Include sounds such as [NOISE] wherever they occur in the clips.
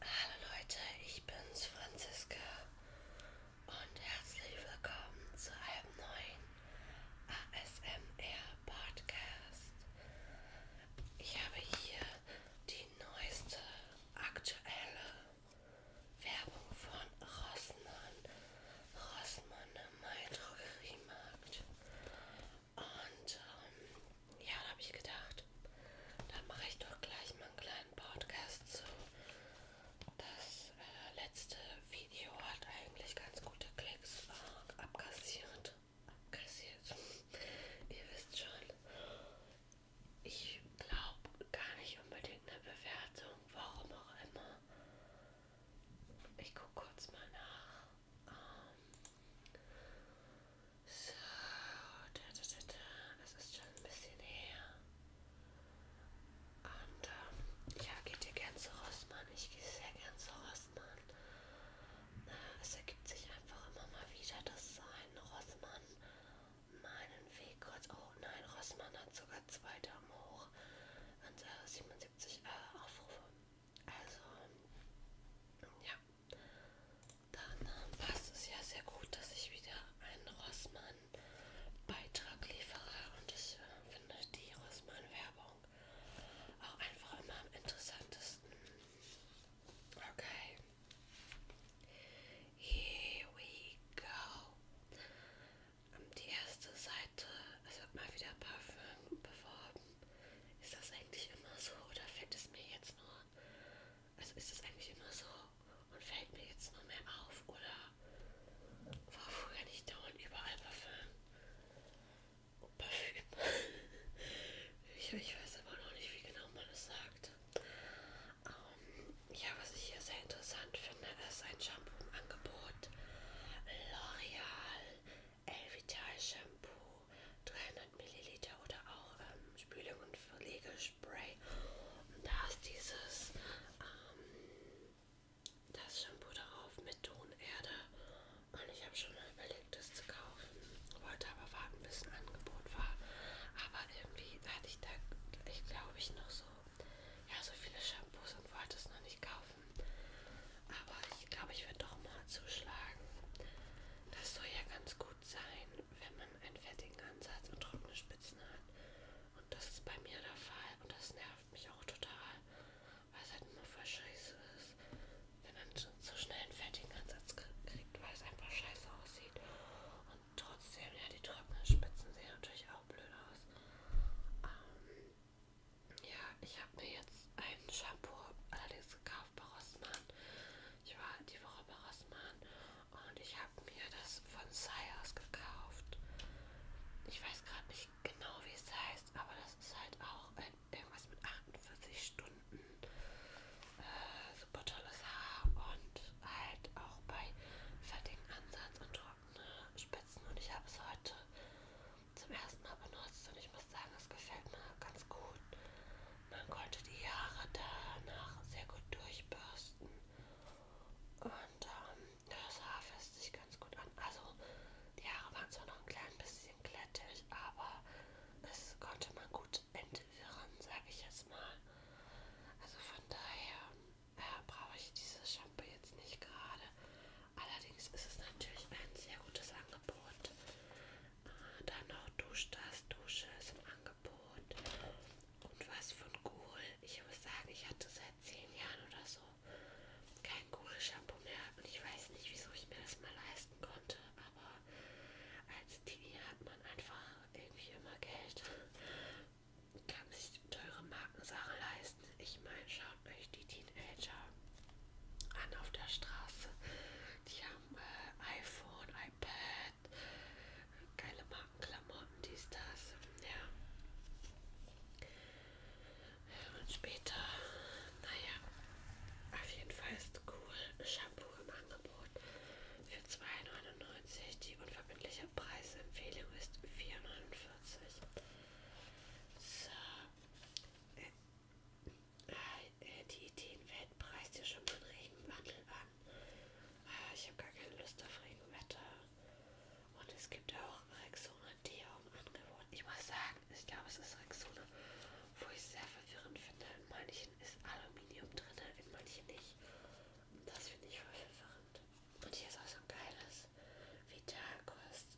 Hallo Leute, ich bin's Franziska und herzlich willkommen zu einem neuen ASMR Podcast. Ich habe hier die neueste aktuelle Werbung von Rossmann, Rossmann im Mai Drogeriemarkt. Und ähm, ja, da habe ich gedacht, dann mache ich doch gleich mal einen kleinen Podcast zu. Das äh, letzte Video hat eigentlich ganz gute Klicks äh, abkassiert. Abkassiert. Ihr wisst schon, ich glaube gar nicht unbedingt eine Bewertung, warum auch immer. Ich gucke kurz mal nach. Ähm, so, das ist schon ein bisschen her. Und ähm, ja, geht ihr gern zu Rossmann? Ich gehe sehr gern zu Rossmann. Es ergibt sich einfach immer mal wieder, dass ein Rossmann meinen Weg kurz. Oh nein, Rossmann hat sogar zwei Daumen hoch und äh, 77 äh, Aufrufe. Also, ja, dann äh, passt es ja sehr gut, dass ich wieder einen Rossmann-Beitrag liefere. Und ich äh, finde die Rossmann-Werbung auch einfach immer am interessantesten. Okay. Here we go. Die erste Seite, es wird mal wieder Parfüm beworben. Ist das eigentlich immer so oder fällt es mir jetzt nur also ist es eigentlich immer so und fällt mir jetzt nur mehr auf oder war früher nicht dauernd überall Parfüm? Parfüm. [LAUGHS] Ich, ich weiß aber noch nicht, wie genau man es sagt. Um, ähm, ja, was ich hier sehr interessant finde, ist ein Shampoo im Angebot. L'Oreal Elvital Shampoo. 300 Milliliter oder auch ähm, Spülung und Verlegespray. Und da ist dieses ähm, das Shampoo darauf mit Tonerde. Und ich habe schon mal überlegt, das zu kaufen. Wollte aber warten, bis ein Angebot war. Aber irgendwie hatte ich da, ich glaube ich, noch so, ja, so viele Shampoos und wollte es noch nicht kaufen. Aber ich glaube, ich werde doch mal zuschlagen. Das soll ja ganz gut gut sein, wenn man einen fertigen Ansatz und trockene Spitzen hat. Und das ist bei mir der Fall und das nervt mich auch total, weil es halt immer voll scheiße ist, wenn man so schnell einen fertigen Ansatz kriegt, weil es einfach scheiße aussieht. Und trotzdem, ja, die trockenen Spitzen sehen natürlich auch blöd aus. Ähm, ja, ich habe mir jetzt ein Shampoo allerdings gekauft auf Rossmann. Ich war die Woche bei Rossmann und ich habe mir das von Sayers gekauft. Ich weiß gerade nicht genau, wie es heißt, aber das ist halt auch ein, irgendwas mit 48 Stunden. Äh, super tolles Haar und halt auch bei fertigen Ansatz und trockene Spitzen. Und ich habe es heute zum ersten Mal benutzt und ich muss sagen, es gefällt mir ganz gut. Man konnte die Haare danach sehr gut durchbürsten. Und ähm, das Haar fässt sich ganz gut an. Also die Haare waren zwar noch ein klein bisschen glättig, aber es konnte man gut entwirren, sage ich jetzt mal. Also von daher äh, brauche ich dieses Shampoo jetzt nicht gerade. Allerdings ist es natürlich ein sehr gutes Angebot. Dann noch Duschtas, Dusche ist im Angebot. Und was von Ghoul. Ich muss sagen, ich hatte seit zehn Jahren oder so kein Ghoul-Shampoo mehr. Und ich weiß nicht, wieso ich mir das mal leisten konnte. Aber als Teenie hat man einfach irgendwie immer Geld. Kann sich teure Markensachen leisten. Ich meine, schaut euch die Teenager an auf der Straße. Die haben äh, iPhone, iPad, geile Markenklamotten, dies, das. Ja. Und später, naja, auf jeden Fall ist cool. Shampoo im Angebot für 2,99. Die unverbindliche Preisempfehlung ist 4,49. So. Äh, äh, äh, die Ideenweltpreis dir schon mal einen Regenmantel an. Äh, ich habe gar keine Lust auf Regenwetter. Und es gibt auch Rexona Tee im Angebot. Ich muss sagen, ich glaube, es ist Rexona, wo ich sehr verwirrend finde. In manchen ist Aluminium drin, in manchen nicht. Das finde ich voll verwirrend. Und hier ist auch so ein geiles Vitalkost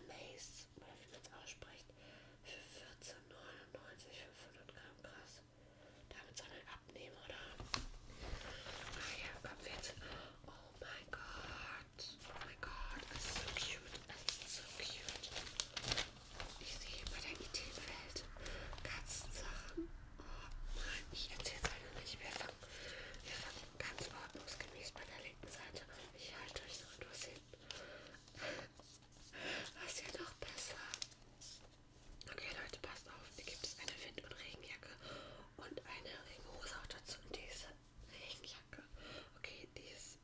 Amaze, oder wie man es ausspricht für 14,99 500 Gramm krass. Damit soll er abnehmen, oder? Okay, ah kommt jetzt. Oh mein Gott. Oh mein Gott. Es ist so cute. Es ist so cute. Ich sehe bei der Ideenwelt Katzensachen. Oh nein, ich erzähle es leider nicht. Wir fangen, wir fangen ganz ordnungsgemäß bei der linken Seite an. Ich halte euch noch etwas hin. Das wird doch besser. Okay, Leute, passt auf. Hier gibt es eine Wind- und Regenjacke und eine Regenhose auch dazu. Und diese Regenjacke. Okay, die ist.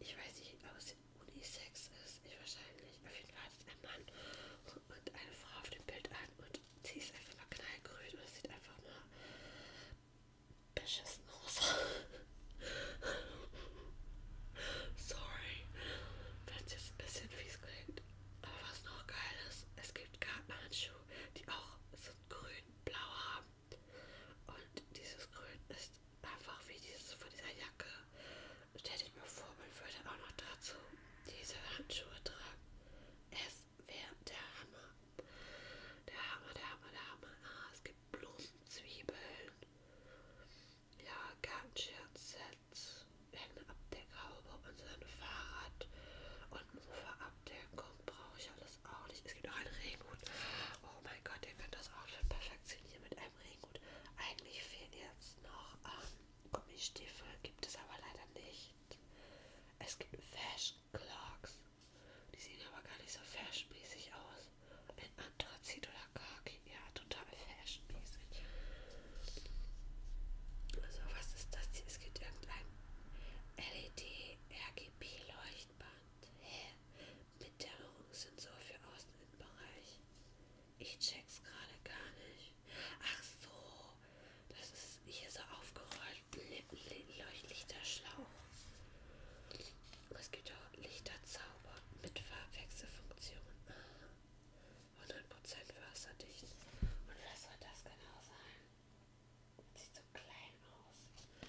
Ich weiß nicht, ob es Unisex ist. Ich wahrscheinlich. Auf jeden Fall ist ein Mann und eine Frau auf dem Bild an. Und sie ist einfach mal knallgrün. Und es sieht einfach mal beschissen aus. Sorry, wenn es jetzt ein bisschen fies klingt. Aber was noch geil ist, es gibt Gartenhandschuhe, die auch so grün-blau haben. Und dieses Grün ist einfach wie dieses von dieser Jacke. Stell dich mal vor, man würde auch noch dazu diese Handschuhe tragen. Es wäre der Hammer. Der Hammer, der Hammer, der Hammer. Ah, es gibt Blumenzwiebeln. Ja, Gartenscherzsets, irgendeine Abdeckhaube und so ein Fahrrad und Mofa-Abdeckung brauche ich alles auch nicht. Es gibt auch einen Regenhut. Oh mein Gott, ihr könnt das Outfit perfektionieren mit einem Regenhut. Eigentlich fehlen jetzt noch ähm, Gummistiefel, gibt es aber leider nicht. Es gibt Fashion Clocks, die sehen aber gar nicht so fashionmäßig aus. In Anthrazit oder Khaki. Ja, total fashionmäßig. Also, was ist das hier? Es gibt irgendein LED-RGB-Leuchtband. Hä? Mit Dämmerungssensor für Außeninnenbereich. Ich check's gerade gar nicht. Ach so, das ist hier so aufgerollt. Leuchtlichter Schlauch. Es gibt auch Lichterzauber mit Farbwechselfunktion. 100% wasserdicht. Und was soll das genau sein? Sieht so klein aus.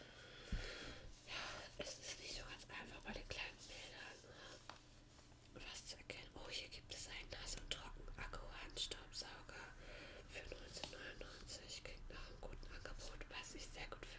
Ja, es ist nicht so ganz einfach bei den kleinen Bildern was zu erkennen. Oh, hier gibt es einen Nass- und Trocken-Akku-Handstaubsauger für 1999. Klingt nach einem guten Angebot, was ich sehr gut finde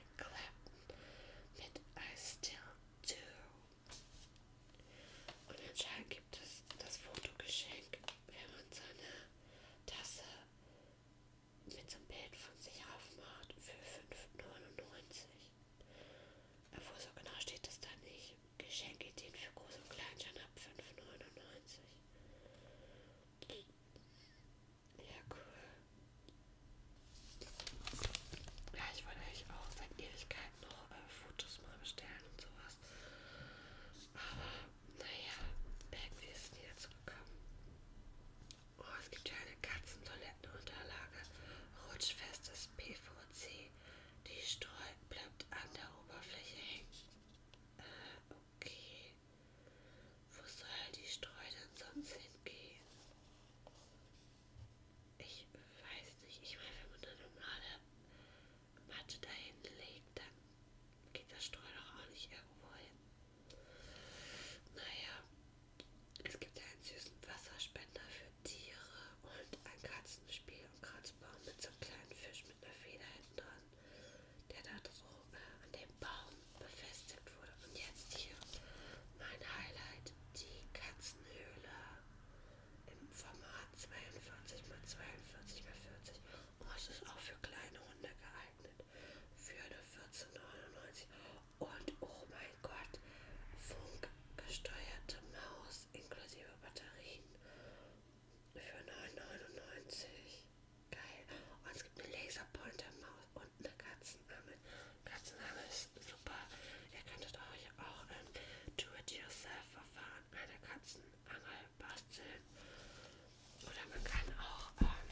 Eric Clapton mit I Still Do. Und anscheinend gibt es das Fotogeschenk, wenn man seine Tasse mit so einem Bild von sich aufmacht für 5,99. Obwohl so genau steht es da nicht. Geschenkideen für Groß- und Kleinschein ab 5,99. Ja, cool. Ja, ich wollte eigentlich auch seit Ewigkeiten noch äh, Fotos mal bestellen und sowas. Aber naja, irgendwie ist es nie dazu gekommen. Oh, es gibt ja eine Katzentoilettenunterlage. Rutschfestes PVC. Die Streu bleibt an der Oberfläche hängen. Äh, Okay. Wo soll die Streu denn sonst hingehen? Ich weiß nicht. Ich meine, wenn man eine normale Matte dahin legt, dann geht das Streu doch auch nicht irgendwo hin. Naja, es gibt ja einen süßen Wasserspender für Tiere und ein Katzenspiel und Kratzbaum mit so einem kleinen Fisch mit einer Feder hinten dran der da droben an dem Baum befestigt wurde. Und jetzt hier mein Highlight, die Katzenhöhle im Format 42x42x40. Oh, es ist auch für kleine Hunde geeignet. Für eine 14,99. Und oh mein Gott, funkgesteuerte Maus inklusive Batterien für 9,99. Geil. Und oh, es gibt eine Laserpointer-Maus und eine Katzenangel. Katzenangel ist super. Ihr könntet euch auch im ähm, Do-It-Yourself-Verfahren eine Katzenangel basteln. Oder man kann auch, ähm,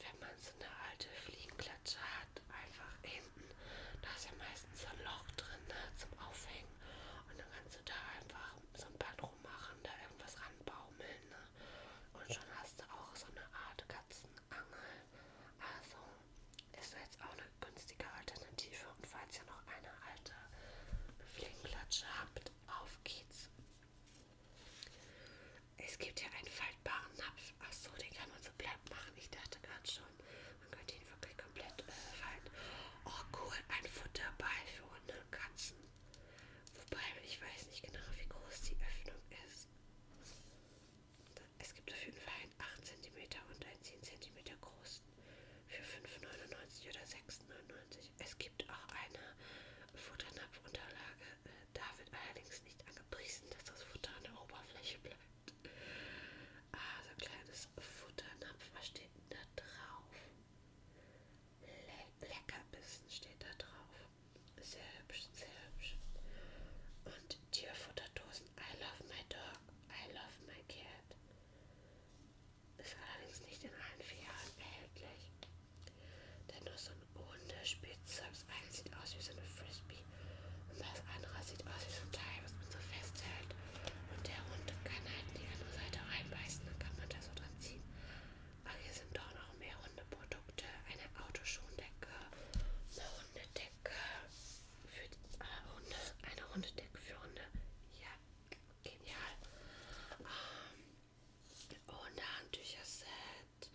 wenn man so eine alte Fliegenklatsche hat, einfach hinten, da ist ja meistens so ein Loch drin ne, zum Aufhängen. Und dann kannst du da einfach so ein Bad rummachen, da irgendwas ranbaumeln. Ne? Und schon hast du auch so eine Art Katzenangel. Also ist jetzt auch eine günstige Alternative. Und falls ihr noch eine alte Fliegenklatsche habt, auf geht's. Es gibt hier einen faltbaren Napf. Achso, den kann man so platt machen. Ich dachte gerade schon, man könnte ihn wirklich komplett äh, falten. Oh cool, ein Futterball für Hunde, Katzen Wobei, ich weiß nicht genau, wie groß die Öffnung ist. Es gibt auf jeden Fall einen 8 cm und einen 10 cm großen für 5,99 oder 6,99. Es gibt auch eine Futternapfunterlage. Da wird allerdings nicht angepriesen, dass das Futter an der Oberfläche bleibt. Ah, so ein kleines Futternapf. Was steht denn da drauf? Leckerbissen steht da drauf. Sehr hübsch, sehr hübsch. Und Tierfutterdosen. I love my dog. I love my cat. Ist allerdings nicht in allen Filialen erhältlich. Denn nur so ein rundes Spielzeug. Das eine sieht aus wie so eine Frisbee. Und das andere sieht aus wie so ein Teil, was man so festhält. Und der Hund kann halt in die andere Seite reinbeißen. Dann kann man da so dran ziehen. Ach, hier sind doch noch mehr Hundeprodukte. Eine Autoschuhendecke, eine Hundedecke für die, ah, Hunde, eine Hundedecke für Hunde. Ja, genial. Ähm, Hundehandtücher-Set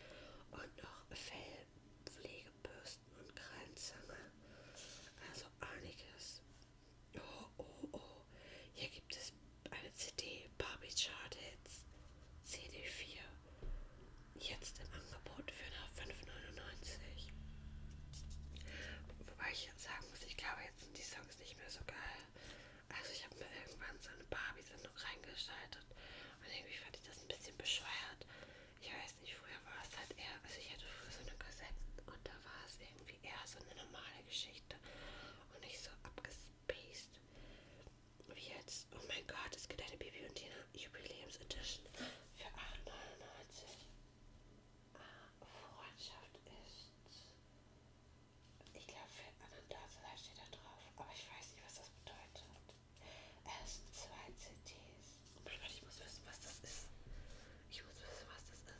und noch Fellpflegebürsten und Krallenzange. Also einiges. Oh, oh, oh. Hier gibt es eine CD, Barbie Chart Hits, CD4. Jetzt im Angebot für nach 5,99. Wobei ich jetzt sagen muss, ich glaube, jetzt sind die Songs nicht mehr so geil. Also ich habe mir irgendwann so eine Barbie-Sendung reingeschaltet und irgendwie fand ich das ein bisschen bescheuert. Ich weiß nicht, früher war es halt eher, also ich hatte früher so eine Kassette und da war es irgendwie eher so eine normale Geschichte und nicht so abgespaced. Wie jetzt? Oh mein Gott, es gibt eine Bibi und Tina Jubiläumsedition für 8,99. Ah, Freundschaft ist. Ich glaube, für Ananas steht da drauf, aber ich weiß nicht, was das bedeutet. Es sind zwei CDs. Oh mein Gott, ich muss wissen, was das ist. Ich muss wissen, was das ist.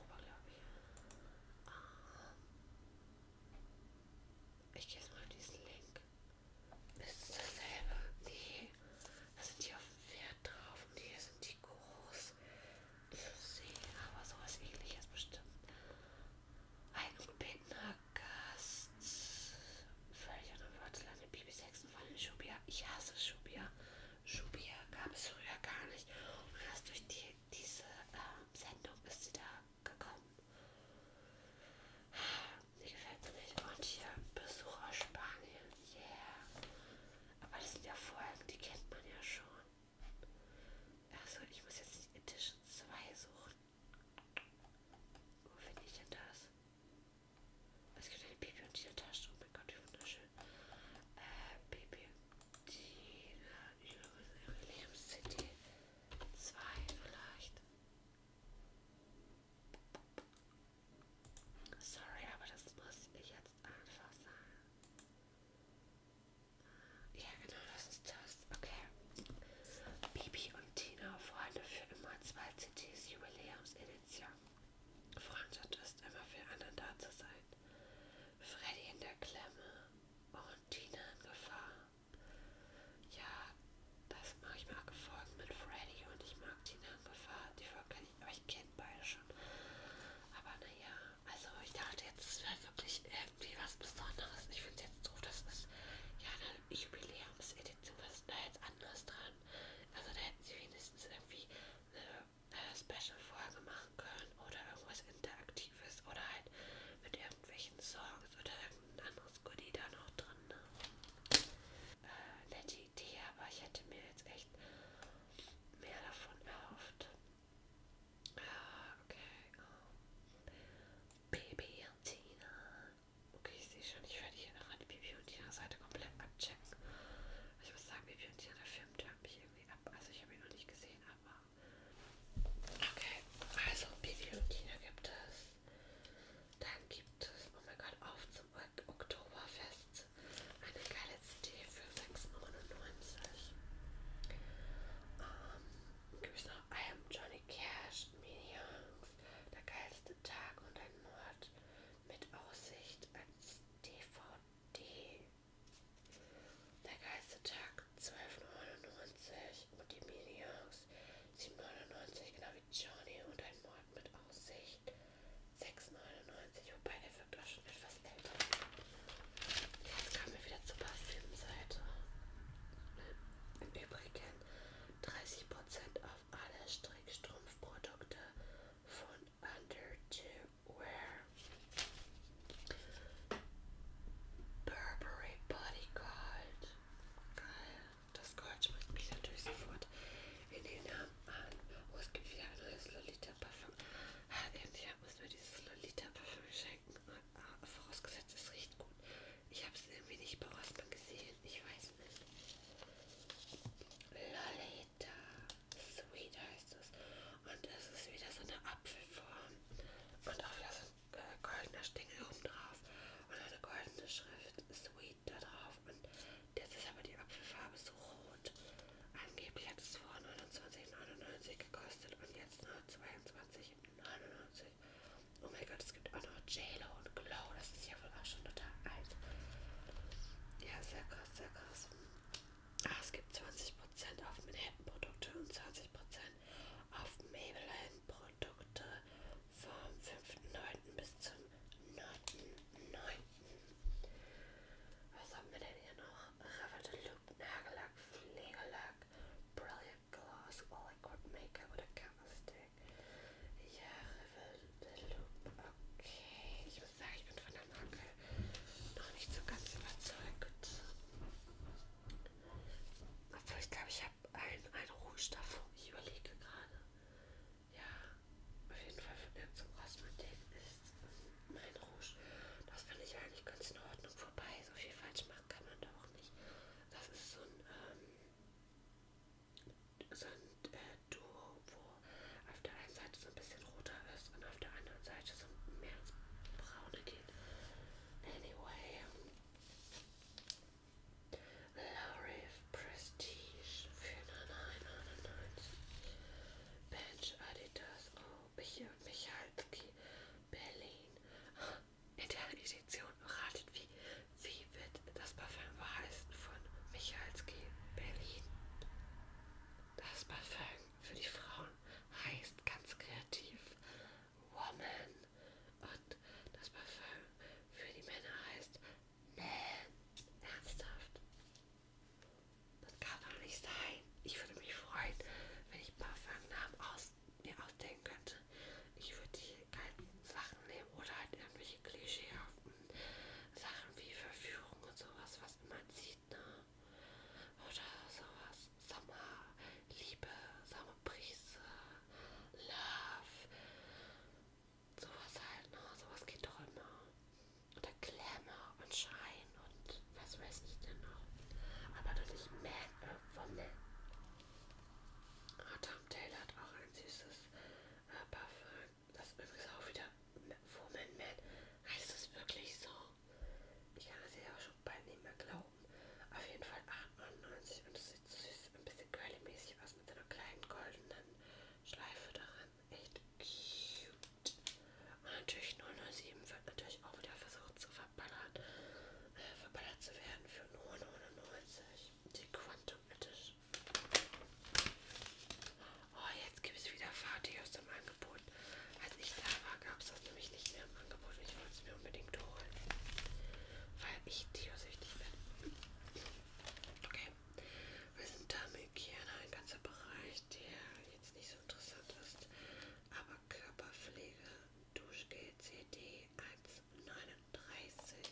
Europa, ah. glaube ich. Ähm, ich gehe jetzt mal auf diesen Link. Ist dasselbe? Nee. Da sind die auf dem Pferd drauf und hier sind die groß zu sehen, aber sowas ähnliches bestimmt. Ein Binder Gast. Völlig unerwartet landet Bibi Sexen von den Schubia. Ich hasse Schubia. Schubier gab es früher gar nicht. Und erst durch die, diese äh, Sendung ist sie da gekommen. Die gefällt mir nicht. Und hier Besuch aus Spanien. Yeah. Aber das sind ja Folgen, die kennt man ja schon. Achso, ich muss jetzt die Edition 2 suchen. Wo finde ich denn das? Es gibt eine Baby und diese Tasche. Oh mein Gott, wie wunderschön. Wünsche, äh, Bibliothek, Jubiläums-CD, zwei vielleicht. Sorry, aber das muss ich jetzt einfach sagen. Ja, genau, das ist das. Okay. Bibi und Tina, Freunde für immer, zwei CDs Jubiläumsedition. Freundschaft ist immer füreinander da zu sein. Freddy in der Klemme und Tina in Gefahr. Ja, das mache ich mal gefolgt mit Freddy und ich mag Tina in Gefahr. Die Folge kenne ich, aber ich kenne beide schon. Aber naja, also ich dachte jetzt, es wäre wirklich irgendwie was Besonderes. Ich finde es jetzt doof, das ist ja eine Jubiläumsedition, was ist da jetzt anders dran? Also da hätten sie wenigstens irgendwie eine eine Special-Folge machen können oder irgendwas Interaktives oder halt mit irgendwelchen Songs oder irgendein anderes Goodie da noch drin. Ne? Äh, nette Idee, aber ich hätte mir jetzt echt mehr davon erhofft. Ah, okay. Oh. Baby und Tina. Okay, ich sehe schon, ich werde hier nachher die Bibi und Tina Seite komplett abchecken. Ich muss sagen, Bibi und Tina, da Film tört mich irgendwie ab. Also ich habe ihn noch nicht gesehen, aber... Okay, also Bibi und Tina gibt es. Dann gibt es, oh mein Gott, auf zum Oktoberfest. Eine geile CD für 6,99. Ähm, gibt es noch I Am Johnny Cash, Minions, Der geilste Tag und ein Mord mit Aussicht als DVD die, der Geistertag 1299 und die Minions 799, genau wie Johnny und ein Mord mit Aussicht 699, wobei er wirkt auch schon etwas älter. Jetzt kommen wir wieder zur Parfümseite. Im Übrigen 30% auf alle Strickstrumpfprodukte von underwear. Burberry Bodyguard. Geil. Das Gold springt mich natürlich sofort in den Namen an. Oh, es gibt wieder ein neues Lolita-Parfum. Ah, endlich hat man mir dieses Lolita-Parfum geschenken. Ah, vorausgesetzt, es riecht gut. Ich habe es irgendwie nicht bei Rossmann gesehen. Ich weiß nicht. Lolita. Bittersweet heißt es. Und es ist wieder so eine Apfelform. Und auch wieder so ein äh, goldener Stängel oben drauf. Und eine goldene Schrift Sweet da drauf. Und jetzt ist aber die Apfelfarbe so rot. Angeblich hat es vor 29,99 gekostet und jetzt nur 22,99. Oh mein Gott, es gibt auch noch JLo und Glow. Das ist ja wohl auch schon total alt. Ja, sehr krass, sehr krass. Ach, es gibt 20% auf Manhattan-Produkte und 20% auf Maybelline-Produkte vom 5.9. bis zum 9.9. Was haben wir denn hier noch? Raffle Loop, Nagellack, Pflegelack, Brilliant Gloss, All Liquid Makeup oder Candlestick. Ja, Raffle Cantaloupe. Okay, ich muss sagen, ich bin von der Marke noch nicht so ganz überzeugt. Obwohl, ich glaube, ich habe einen, einen Rouge davor. Ich überlege gerade. Ja, auf jeden Fall von der zum Kosmetik ist mein Rouge. Das finde ich eigentlich ganz in Ordnung. Vorbei, so viel falsch machen kann man da auch nicht. Das ist so ein, ähm, so ein äh, Duo, wo auf der einen Seite so ein bisschen roter ist und auf der anderen Seite so mehr ins Braune geht. Anyway. L'Oreal Prestige 4999. Bench Adidas. Oh, hier Michalski. Berlin. Ah, in der Edition ratet, wie, wie wird das Parfüm heißen von Michalski Berlin. Das Parfum für die Frauen heißt ganz kreativ Woman und das Parfum für die Männer heißt Man. Ernsthaft? Das kann doch nicht sein. Ich würde mich freuen, wenn ich Parfumnamen aus mir ausdenken könnte. Ich würde die ganzen Sachen nehmen oder halt irgendwelche Klischeehaften Sachen wie Verführung und sowas, was immer zieht, ne? Oder sowas. Sommer, Liebe, Sommerbrise, Love. Sowas halt, ne? Sowas geht doch immer. Oder Glamour und Schein und was weiß ich denn noch. Aber doch nicht Mad äh, von Man. Ah, Tom Taylor hat auch ein süßes äh, Parfum das ist übrigens auch wieder Woman Man. Heißt das wirklich so? Ich kann das ja auch schon bald nicht mehr glauben. Auf jeden Fall 8,99 und das sieht süß, ein bisschen curly-mäßig aus mit einer kleinen goldenen Schleife daran. Echt cute. Und natürlich 007 wird natürlich auch wieder versucht zu verballern, äh, verballert zu werden für nur 99. Die Quantum Edition. Oh, jetzt gibt es wieder Fati aus dem Angebot. Als ich da war, gab es das nämlich nicht mehr im Angebot. Ich wollte es mir unbedingt holen, weil ich tiosüchtig bin. Okay, wir sind damit hier in einem ganzen Bereich, der jetzt nicht so interessant ist. Aber Körperpflege, Duschgel CD 1,39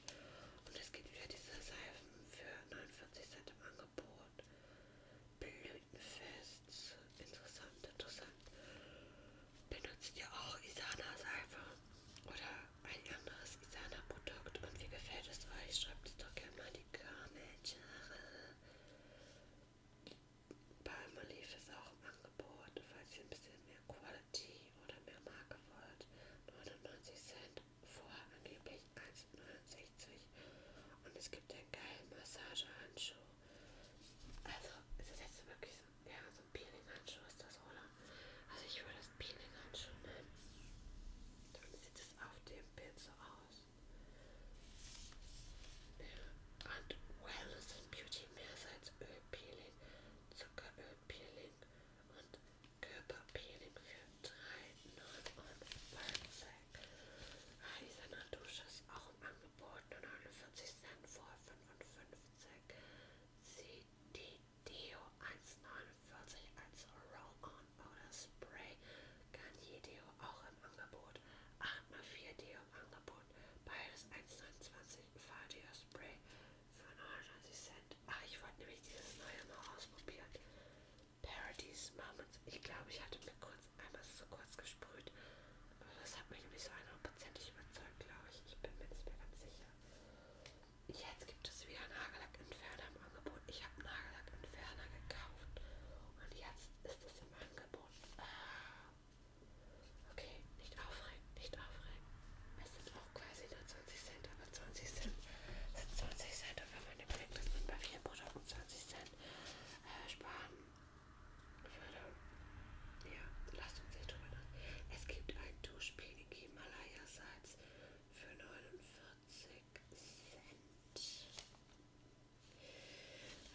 und es gibt wieder diese Seifen für 49 Cent im Angebot. Angebot. Blütenfest. Interessant, interessant. Benutzt ihr auch Isana-Seife oder ein anderes Isana-Produkt? Und wie gefällt es euch? Schreibt es doch gerne mal in die Kommentare. Palmolive ist auch im Angebot, falls ihr ein bisschen mehr Quality oder mehr Marke wollt. 99 Cent vorher angeblich 1,69 und es gibt einen geilen Massagehandschuh. Also ist das jetzt wirklich so, ja, so ein Peeling-Handschuh ist das, oder? Also ich würde das Peeling-Handschuh nennen. Dann sieht es auf dem Bild so aus. Ja. Und Wellness und Beauty mehr als Ölpeeling, Zuckerölpeeling und Körperpeeling für 3,49 ah, Dieser Natusche ist auch im Angebot, nur 49 Cent vor 55 CD Deo 1,49 als Roll-On oder Spray Garnier Deo auch im Angebot 8x4 Deo im Angebot beides 1,29 Fadio Spray für 99 Cent. Ach, ich wollte nämlich dieses neue mal ausprobieren. Parodies Moments. Ich glaube, ich hatte mir kurz einmal so kurz gesprüht, aber das hat mich nicht so 100% überzeugt, glaube ich. Ich bin mir nicht mehr ganz sicher. Jetzt gibt es wieder Nagellack Entferner im Angebot. Ich habe Nagellack Entferner gekauft und jetzt ist es im Angebot. Ah. Okay, nicht aufregen, nicht aufregen. Es sind auch quasi dazu 20 Cent, aber 20 Cent sind 20 Cent und wenn man den Blick, dass man bei vielen Produkten 20 Cent äh, sparen würde. Ja, lasst uns nicht drüber nach. Es gibt ein Duschpeeling Himalaya Salz für 49 Cent.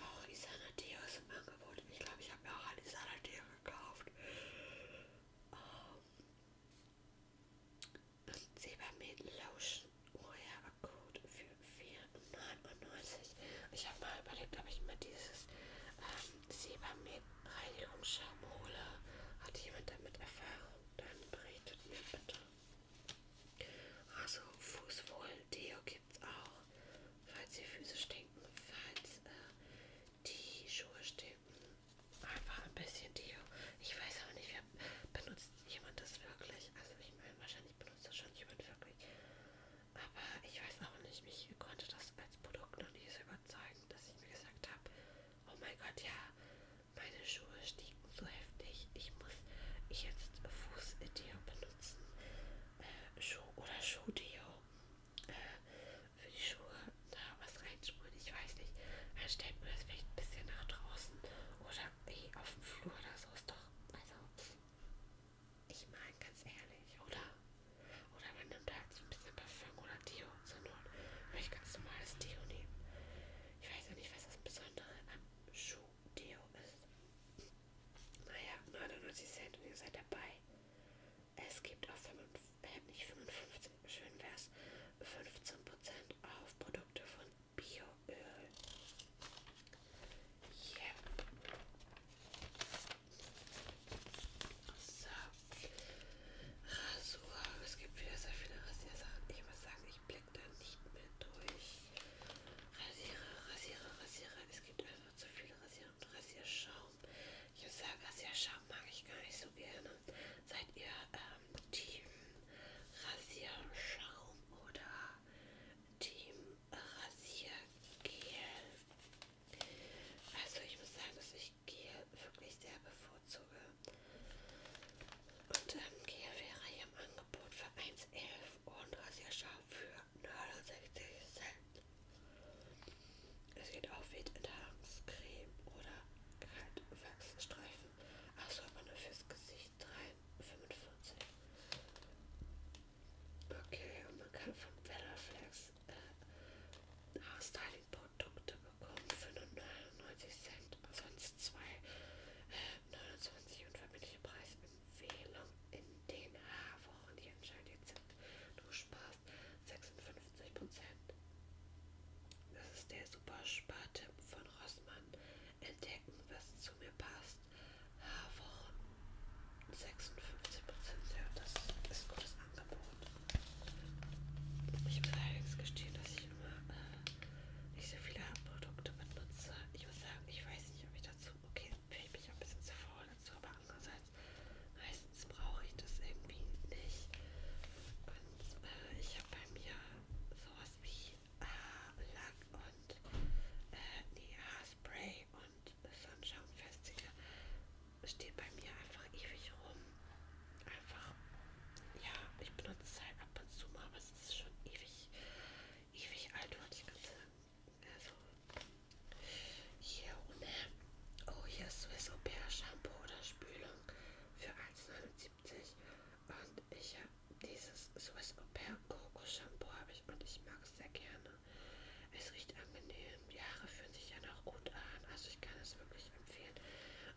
Auch Isana Deo ist im Angebot. Ich glaube, ich habe mir auch ein Isana Deo gekauft. Um, ähm, und Silbermehl-Lotion Urhebercode für 4,99. Ich habe mal überlegt, ob ich mir dieses ähm, Silbermehl-Reinigungsschaum hole. Hat jemand damit Erfahrung? Dann berichtet mir bitte. Also Fußwohl-Deo gibt es auch, falls die Füße stinken, falls äh, die Schuhe stinken einfach ein bisschen Deo. Ich weiß auch nicht, wer benutzt jemand das wirklich. Also ich meine, wahrscheinlich benutzt das schon jemand wirklich. Aber ich weiß auch nicht, mich konnte das als Produkt noch nicht so überzeugen, dass ich mir gesagt habe, oh mein Gott, ja, meine Schuhe stiegen so heftig. Ich muss ich jetzt Fußdeo benutzen. Äh, Schuh oder Schuhdeo. Äh, für die Schuhe. Da was rein Schuhen, ich weiß nicht. Dann also stellt man das vielleicht ein bisschen nach draußen oder eh auf dem Flur oder so ist doch. Also, ich meine ganz ehrlich, oder? Oder man nimmt halt so ein bisschen Parfüm oder Deo zur Not. Würde ich ganz normales Deo nehmen. Ich weiß ja nicht, was das Besondere am Schuh-Deo ist. Naja, 99 Cent und ihr seid dabei. Es gibt auch 55, äh, nicht 55, schön wär's, 15% auf Produkte von Bioöl. Yeah. So. Rasur. Es gibt wieder sehr viele Rasiersachen. Ich muss sagen, ich blicke da nicht mehr durch. Rasierer, Rasierer, Rasierer. Es gibt einfach zu viele Rasierer und Rasierschaum. Ich muss sagen, Rasierschaum mag ich gar nicht so gerne. Seid ihr ähm, Team Rasierschaum oder Team Rasiergel? Also ich muss sagen, dass ich Gel wirklich sehr bevorzuge. Und ähm, Gel wäre hier im Angebot für 1,11 und Rasierschaum für 69 Cent. Es geht auch wie Enthaarungscreme oder Kaltwachsstreifen. Achso, aber nur fürs Gesicht 3,45. Okay, und man kann von Bellaflex äh, Haarstyling-Produkte bekommen für nur 99 Cent, sonst zwei äh, 29 und verbindliche Preisempfehlung in den Haarwochen, die anscheinend jetzt sind. Du sparst 56 Prozent. Das ist der super Spartipp von Rossmann. Entdecken, was zu mir passt. Haarwochen 56%. Ja, das ist ein gutes Angebot. Ich muss allerdings gestehen, dass ich immer äh, nicht so viele Produkte benutze. Ich muss sagen, ich weiß nicht, ob ich dazu. Okay, fühle ich mich ein bisschen zu faul dazu, aber andererseits meistens brauche ich das irgendwie nicht. Und äh, ich wäre bei mir sowas wie Haarlack äh, und äh, nee, Haarspray und Sonnenschaumfestiger steht bei mir einfach ewig rum. Einfach, ja, ich benutze es halt ab und zu mal, aber es ist schon ewig, ewig alt, wollte ich gerade sagen. Also, hier ohne, oh hier ist Swiss Au Pair Shampoo oder Spülung für 1,99 und ich habe dieses Swiss Au Pair Coco Shampoo habe ich und ich mag es sehr gerne. Es riecht angenehm, die Haare fühlen sich ja noch gut an, also ich kann es wirklich empfehlen.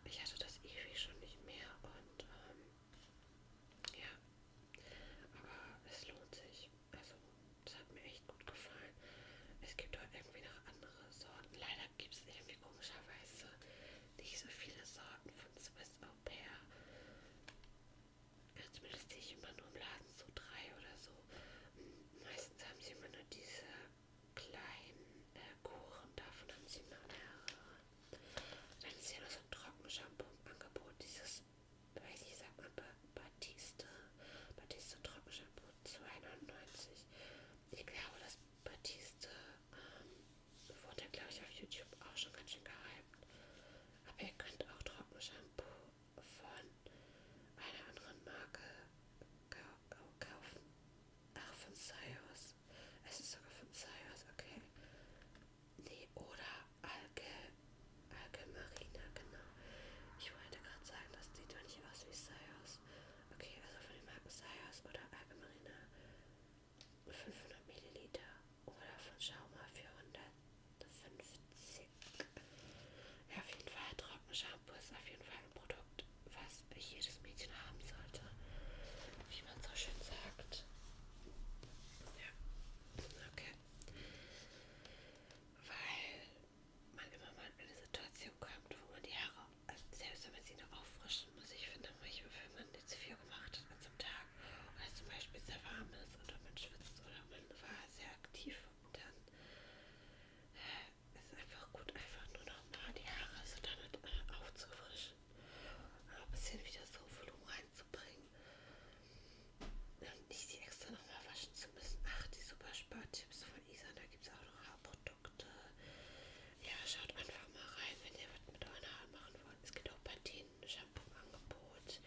Ich hatte das ewig schon nicht mehr und ähm, ja, aber es lohnt sich. Also es hat mir echt gut gefallen. Es gibt auch irgendwie noch andere Sorten. Leider gibt es irgendwie komischerweise nicht so viele Sorten von Swiss Au Pair. Ja, zumindest sehe ich immer nur im Laden so drei oder so. Meistens haben sie immer nur diese kleinen äh, Kuchen, davon haben sie immer mehrere. Dann ist ja noch so ein Trockenshampoo im Angebot, dieses, weiß ich, sag mal, Batiste. Batiste Trockenshampoo 2,99. Ich glaube, das Batiste Wurde, glaube ich, auf YouTube auch schon ganz schön gehypt. Aber ihr könnt auch Trockenshampoo von einer anderen Marke kaufen. Ach, von Cyrus. Es ist sogar von Cyrus, okay. Nee, oder Alge. Alge Marina, genau. Ich wollte gerade sagen, das sieht doch nicht aus wie Cyrus. Messias. Okay, also von dem Messias oder Algemarina 500 Milliliter oder von Schauma 450. Ja, auf jeden Fall Trockenshampoo ist auf jeden Fall ein Produkt, was jedes Mädchen haben sollte, wie man so schön sagt. Ja, okay. Weil man immer mal in eine Situation kommt, wo man die Haare also selbst wenn man sie noch auffrischen muss, ich finde manchmal, wenn man jetzt viel gemacht hat an so einem Tag oder zum Beispiel sehr warm ist oder man schwitzt oder man war sehr aktiv und dann äh, ist es einfach gut, einfach nur noch mal die Haare so damit äh, aufzufrischen und ein bisschen wieder so Volumen reinzubringen und nicht die extra nochmal waschen zu müssen. Ach, die super Spartipps von Isa, da gibt es auch noch Haarprodukte. Produkte. Ja, schaut einfach mal rein, wenn ihr was mit euren Haaren machen wollt. Es gibt auch Partien, Shampoo-Angebot,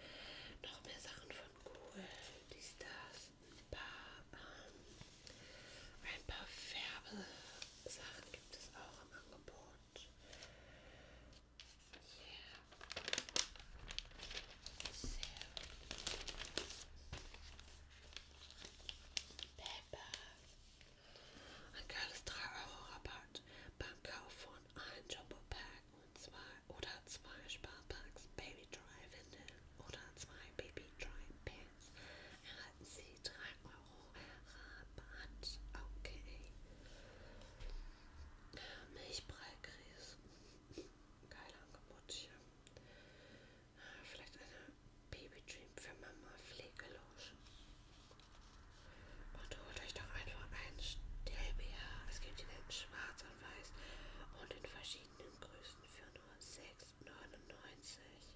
noch mehr Sachen von Google, dies, das, ein paar, ähm, ein paar Färbesachen gibt es auch im Angebot. Yeah. So. Pepper. Ein geiles 3 Euro Rabatt beim Kauf von einem Jumbo Pack und zwei oder zwei Sparpacks Baby Dry Windeln oder zwei Baby Dry Pants erhalten Sie 3 Euro Rabatt. Okay. Milchbreikries. Geil Angebot hier. Vielleicht eine Baby-Dream für Mama Pflegeloge. Und holt euch doch einfach einen Stellbär. Es gibt ihn in schwarz und weiß und in verschiedenen Größen für nur 6,99.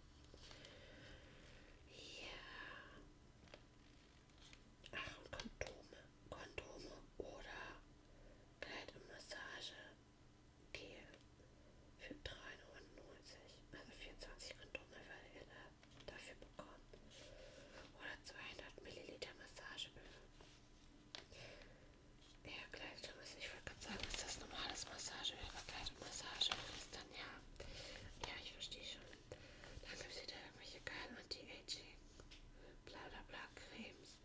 Ja. Ach, und Kondome. Kondome oder Kleid und Massage. Kiel für 3,99 also 24 Kondomöl dafür bekommen. Oder 200 Milliliter Massageöl. Ja, Gleitum ist, ich wollte gerade sagen, ist das normales Massageöl, aber Gleitum Massageöl ist dann ja. Ja, ich verstehe schon. Dann gibt es wieder irgendwelche geilen Anti-Aging, bla bla bla Cremes.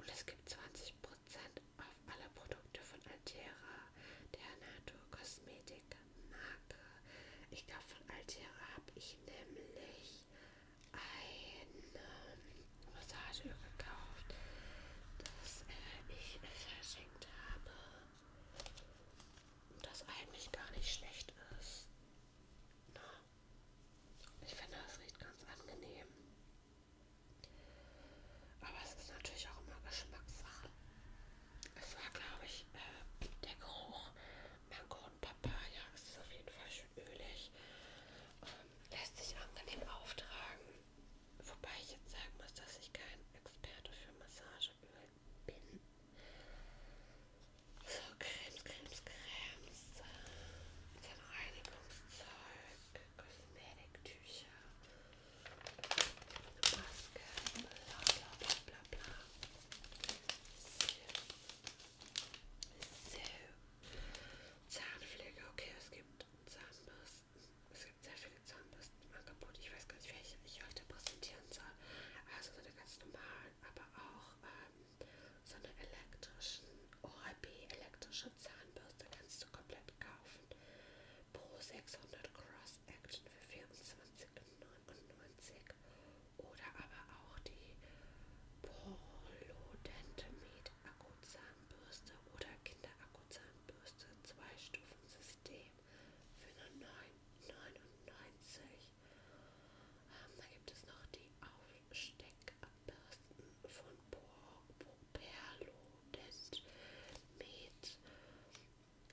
Und es gibt 20% auf alle Produkte von Altera, der Naturkosmetik-Marke. Ich glaube, von Altera habe ich nämlich eine Massageöl gekauft, das äh, ich verschenkt habe. Das eigentlich gar nicht schlecht ist. Na, ne? ich finde, das riecht ganz angenehm. Aber es ist natürlich auch immer Geschmackssache. Es war, glaube ich, äh, der Geruch Mango und Papaya. Es ist auf jeden Fall schön ölig. Ähm, lässt sich angenehm auftragen. Wobei ich jetzt sagen muss, dass ich kein Experte für Massageöl bin. So, Cremes, Cremes, Cremes. Dann Reinigungszeug, Kosmetiktücher. Maske, bla bla bla bla bla. So. so. Zahnpflege, okay, es gibt Zahnbürsten. Es gibt sehr viele Zahnbürsten im Angebot. Ich weiß gar nicht, welche ich heute präsentieren soll. Also so eine ganz normalen, aber auch ähm, so eine elektrischen Oral-B elektrische Zahnbürste kannst du komplett kaufen pro 600 Cross-Action für 24,99 oder aber auch die Polodent Med Akkuzahnbürste oder Kinderakkuzahnbürste 2 Stufen System für nur 9,99. Ähm, da gibt es noch die Aufsteckbürsten von Por Perlo Contest mit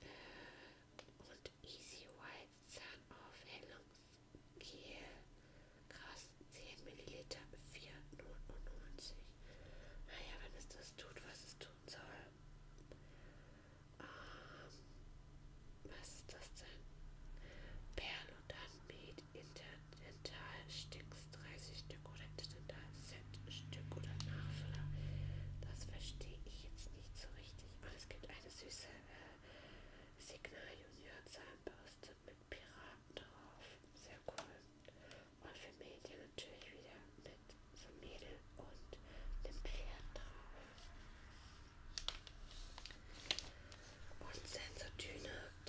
äh, und Easy White Zahnaufhellungsgel. Krass, 10 Milliliter, 4,99. Naja, ah wenn es das tut, was es tun soll. Ähm, was ist das denn? Perl und Handmade Interdental Sticks das 30 Stück oder sind da ein Set Stück oder Nachfüller. Das verstehe ich jetzt nicht so richtig. Aber es gibt eine süße äh, Signal Junior Zahnbürste mit Piraten drauf. Sehr cool. Und für Mädchen natürlich wieder mit so Mädel und dem Pferd drauf. Und Sensordüne 43%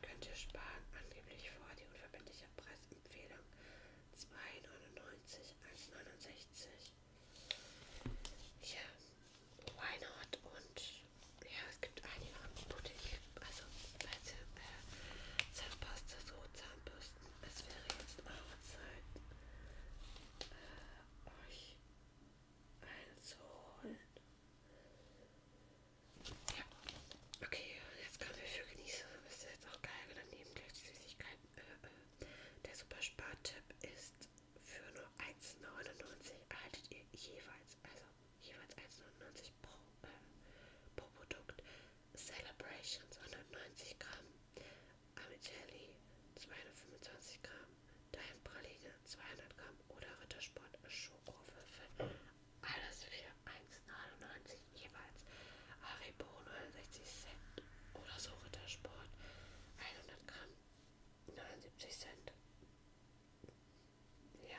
könnt ihr sparen. Angeblich vor die unverbindliche Preisempfehlung. 2,99, 1,69. Ja, why not? Und ja, es gibt einige Angebote hier. Also, weißt du, äh, Zahnpasta, so Zahnbürsten. Es wäre jetzt auch Zeit, äh, euch eine zu holen. Okay, jetzt können wir für genießen. Das ist jetzt auch geil, wenn daneben gleich die Süßigkeiten. Äh, äh. Der Superspar-Tipp ist für nur 1,99 erhaltet ihr jeweils, also jeweils 1,99 pro, äh, pro Produkt. Celebration 290 Gramm, Amicelli 225 Gramm, Daim Praline 200 Gramm oder Rittersport Schokowürfel alles für 1,99 jeweils. Haribo 69 Cent oder so Rittersport 100 Gramm 79 Cent. Ja.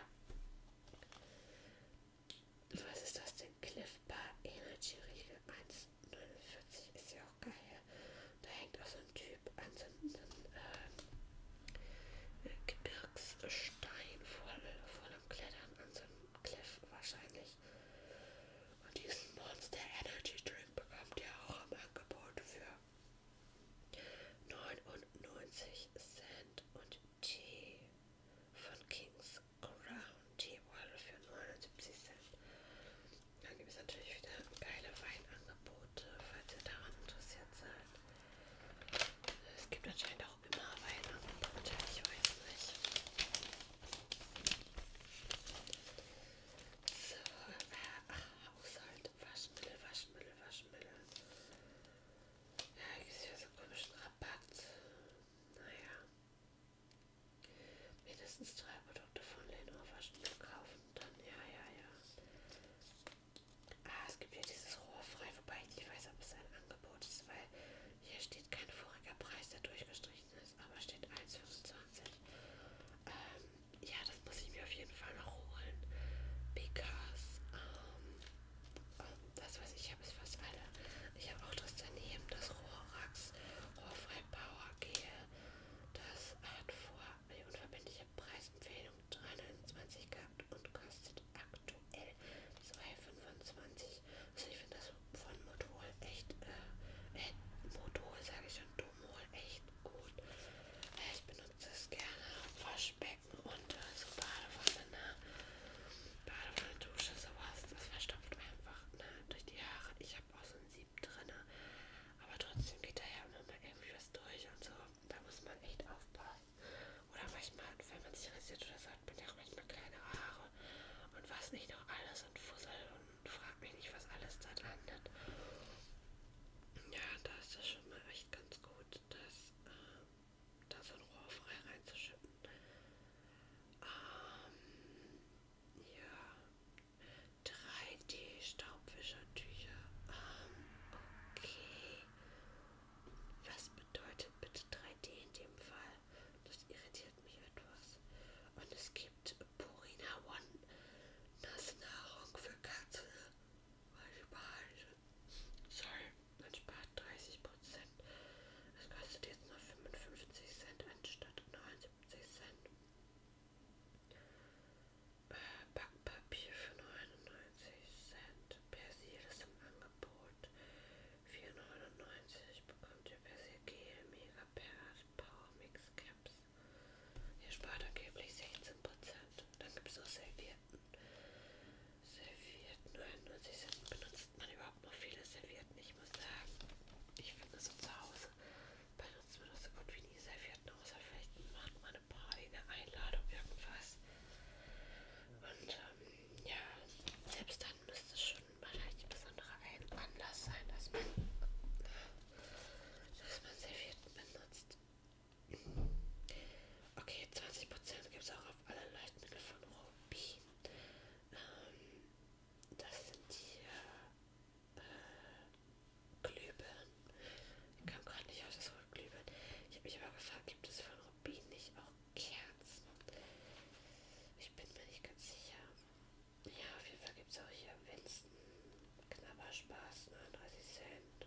Was ist das denn? Cliff Bar Energy Riegel 1,49 ist ja auch geil. Da hängt auch so ein Typ an so einem äh, Gebirgsstein voll, voll am Klettern an so einem Cliff wahrscheinlich. Und diesen Monster Energy Drink bekommt ihr auch im Angebot für 99 Cent und Tee von Kings Around Teewall für 79 Cent. Dann gibt es natürlich wieder geile Weinangebote, falls ihr daran interessiert seid. Es gibt anscheinend auch immer Weihnachten kommt, ich weiß nicht. So, äh, Haushalt, Waschmittel, Waschmittel, Waschmittel. Ja, ich sehe so komischen Rabatt. Naja. Mindestens drei Produkte von Lenor Waschmittel kaufen, dann ja, ja, ja. Ah, es gibt ja dieses Rohrfrei, wobei ich nicht weiß, ob es ein Angebot ist, weil hier steht kein voriger Preis, der durchgestrichen ist, aber steht 1,25. Ähm, ja, das muss ich mir auf jeden Fall noch holen. Because, ähm, ähm das was ich habe, ist fast alle. Ich habe auch das daneben, das Rohrax, Rohrfrei Power Gel. Das hat vor die unverbindliche Preisempfehlung 329 gehabt und kostet aktuell 2,25. Also ich finde das von Motor echt, äh, äh Motor sage ich schon, Domol echt gut. Äh, ich benutze es gerne am Waschbecken und äh, so Badewanne, ne? Badewanne, Dusche, sowas. Das verstopft einfach ne? durch die Haare. Ich habe auch so ein Sieb drin, aber trotzdem geht da ja immer mal irgendwie was durch und so. Da muss man echt aufpassen. Oder manchmal, wenn man sich rasiert oder so, hat man ja auch manchmal kleine Haare und was nicht noch alles und Fussel und frag mich nicht, was alles da landet. Ja, da ist das schon mal echt ganz gut, dass äh, da so ein Rohr frei reinzuschütten. Ähm, ja, 3D-Staubwischertücher. Ähm, okay. Was bedeutet bitte 3D in dem Fall? Das irritiert mich etwas. Und es gibt Purina One Nassnahrung für Katze. Sorry, man spart 30 Prozent. Es kostet jetzt nur 55 Cent anstatt 79 Cent. Äh, Backpapier für 99 Cent. Persil ist im Angebot. 4,99 bekommt ihr Persil Mega Pairs Power Mix Caps. Ihr spart angeblich 16%. Dann gibt es noch Servietten. Servietten 99 Cent benutzt man überhaupt noch viele Servietten. Ich muss sagen, ich finde so zu Hause benutzt man das so gut wie nie Servietten, außer vielleicht macht man eine Party, eine Einladung, irgendwas. Und ähm, ja, selbst dann müsste es schon wahrscheinlich ein besonderer Anlass sein, dass man, dass man Servietten benutzt. Okay, 20% gibt es auch auf alle Leuchtmittel von Ruby. Ähm, das sind hier äh, Glühbirnen. Ich kam gerade nicht auf das Wort Glühbirnen. Ich habe mich aber gefragt, gibt es von Rubin nicht auch Kerzen. Ich bin mir nicht ganz sicher. Ja, auf jeden Fall gibt es auch hier Winston. Knabberspaß, 39 Cent.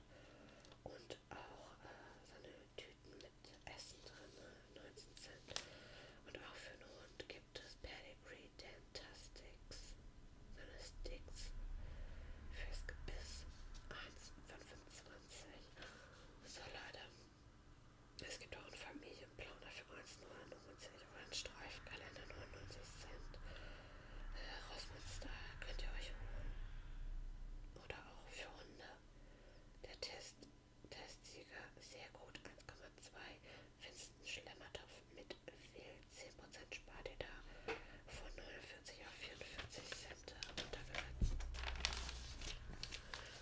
Und auch äh, so eine Tüten mit Essen drin, 19 ne? Cent. Und auch für einen Hund gibt es Pedigree Dentastics. So eine Sticks fürs Gebiss. 1,25. So Leute, es gibt auch einen Familienplaner für 1,99 Euro, einen Streifkalender 99 Cent. Äh, Rossmünster könnt ihr euch holen. Oder auch für Hunde. Der Test, Testsieger sehr gut, 1,2. Finsten Schlemmertopf mit Wild, 10% spart ihr da von 49 auf 44 Cent und äh, runtergesetzt.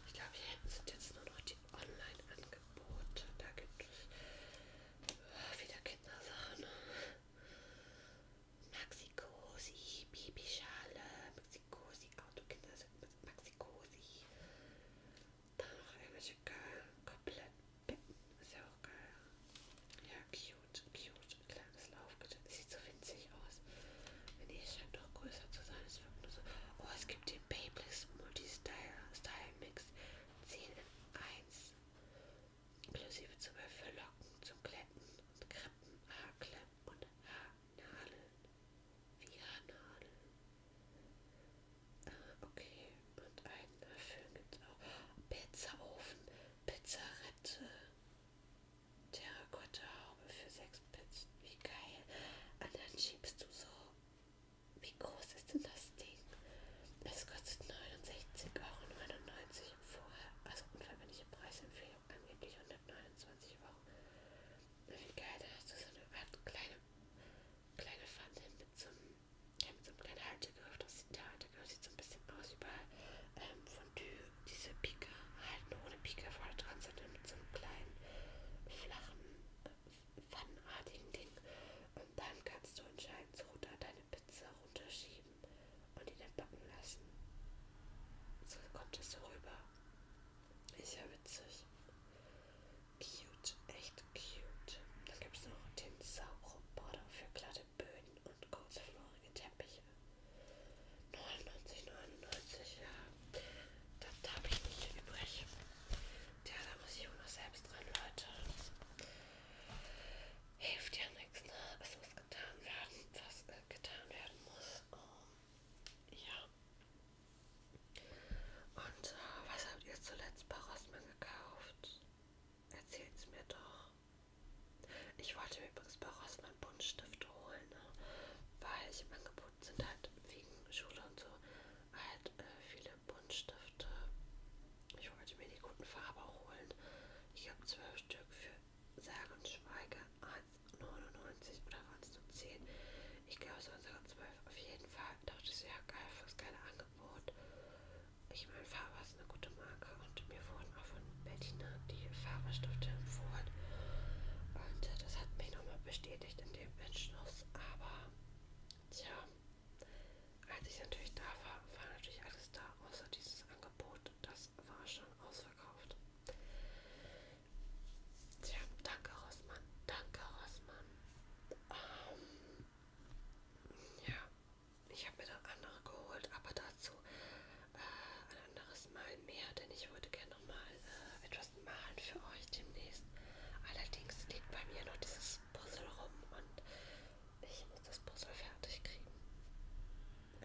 Ich glaube, hier hinten sind jetzt nur noch die Online-Angebote. Da gibt es äh, wieder Kindersachen. Maxi-Cosi, Babyschale, Maxi-Cosi, Autokinder, Maxi-Cosi. Dann noch irgendwelche geil, komplett Pippen. Ist ja auch geil. Ja, cute, cute, kleines Laufgerät. Gott, sieht so winzig aus. Nee, es scheint doch größer zu sein. Es wirkt nur so. Oh, es gibt den Babyliss Multi-Style Style Mix 10 in 1. Inklusive zum Verlocken, zum Glätten und Krippen, Haarklemmen und Haarnadeln. Wie Haarnadeln. Ah, okay. Und einen Föhn gibt es auch. Pizzaofen, Pizzarette, Terrakotta-Haube für sechs Pizzen. Wie geil. Und dann schiebst du so. Wie groß ist denn das Ding? Es kostet 69,99 Euro vorher. Also unverbindliche Preisempfehlung, angeblich 129 Euro. Wie geil, da hast du so eine Art kleine, kleine Pfanne mit so einem, ja, mit so einem kleinen Haltegriff. Das sieht, der Haltegriff sieht so ein bisschen aus wie bei ähm, Fondue diese Pika halten ohne Pika vorne dran, sondern mit so einem kleinen, flachen, pfannenartigen äh, Ding. Und dann kannst du anscheinend so da deine Pizza runterschieben und die dann backen lassen. So kommt es so rüber. Ist ja witzig. Cute, echt cute. Dann gibt es noch den Sauroboter für glatte Böden und kurzflorige Teppiche. 99, 99, ja. Das habe ich nicht übrig. Ja, da muss ich auch noch selbst dran, Leute. Hilft ja nichts, ne? Es muss getan werden, was äh, getan werden muss. Um, ähm, ja. Und äh, was habt ihr zuletzt bei Rossmann gekauft? Erzählt's mir doch. Ich wollte mir übrigens bei Rossmann Buntstift oft holen, ne? weil ich im Angebot sind halt wegen Schule und so halt äh, viele Buntstifte. Ich wollte mir die guten Farbe holen. Ich habe zwölf Stück für sage und schweige 1,99 oder waren es nur 10? Ich glaube, es waren sogar 12. Auf jeden Fall dachte ich so, ja geil, fürs geile Angebot. Ich meine, Farbe ist eine gute Marke und mir wurden von Bettina die Farbstifte empfohlen. Und äh, das hat mich nochmal bestätigt in dem Entschluss. Aber tja, als ich natürlich da war, war natürlich alles da, außer dieses Angebot. Das war schon ausverkauft. Tja, danke Rossmann. Danke Rossmann. Ähm, ja, ich habe mir dann andere geholt, aber dazu äh, ein anderes Mal mehr, denn ich würde gerne nochmal äh, etwas malen für euch demnächst. Allerdings liegt bei mir noch dieses Puzzle rum und ich muss das Puzzle fertig kriegen.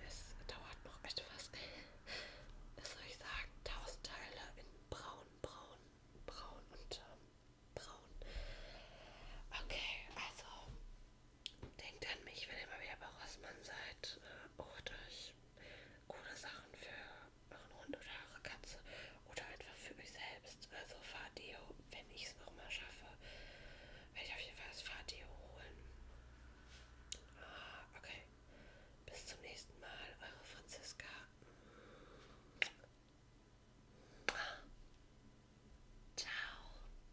Es dauert noch etwas. [LAUGHS] Was soll ich sagen? Tausend Teile in braun, braun, braun und ähm, braun. Okay, also denkt an mich, wenn ihr mal wieder bei Rossmann seid äh, oder ich wirklich coole Sachen für euren Hund oder eure Katze oder einfach für euch selbst. Also Fahrdeo, wenn ich es nochmal schaffe, werde ich auf jeden Fall das Fahrdeo holen. Ah, okay. Bis zum nächsten Mal, eure Franziska. Ciao.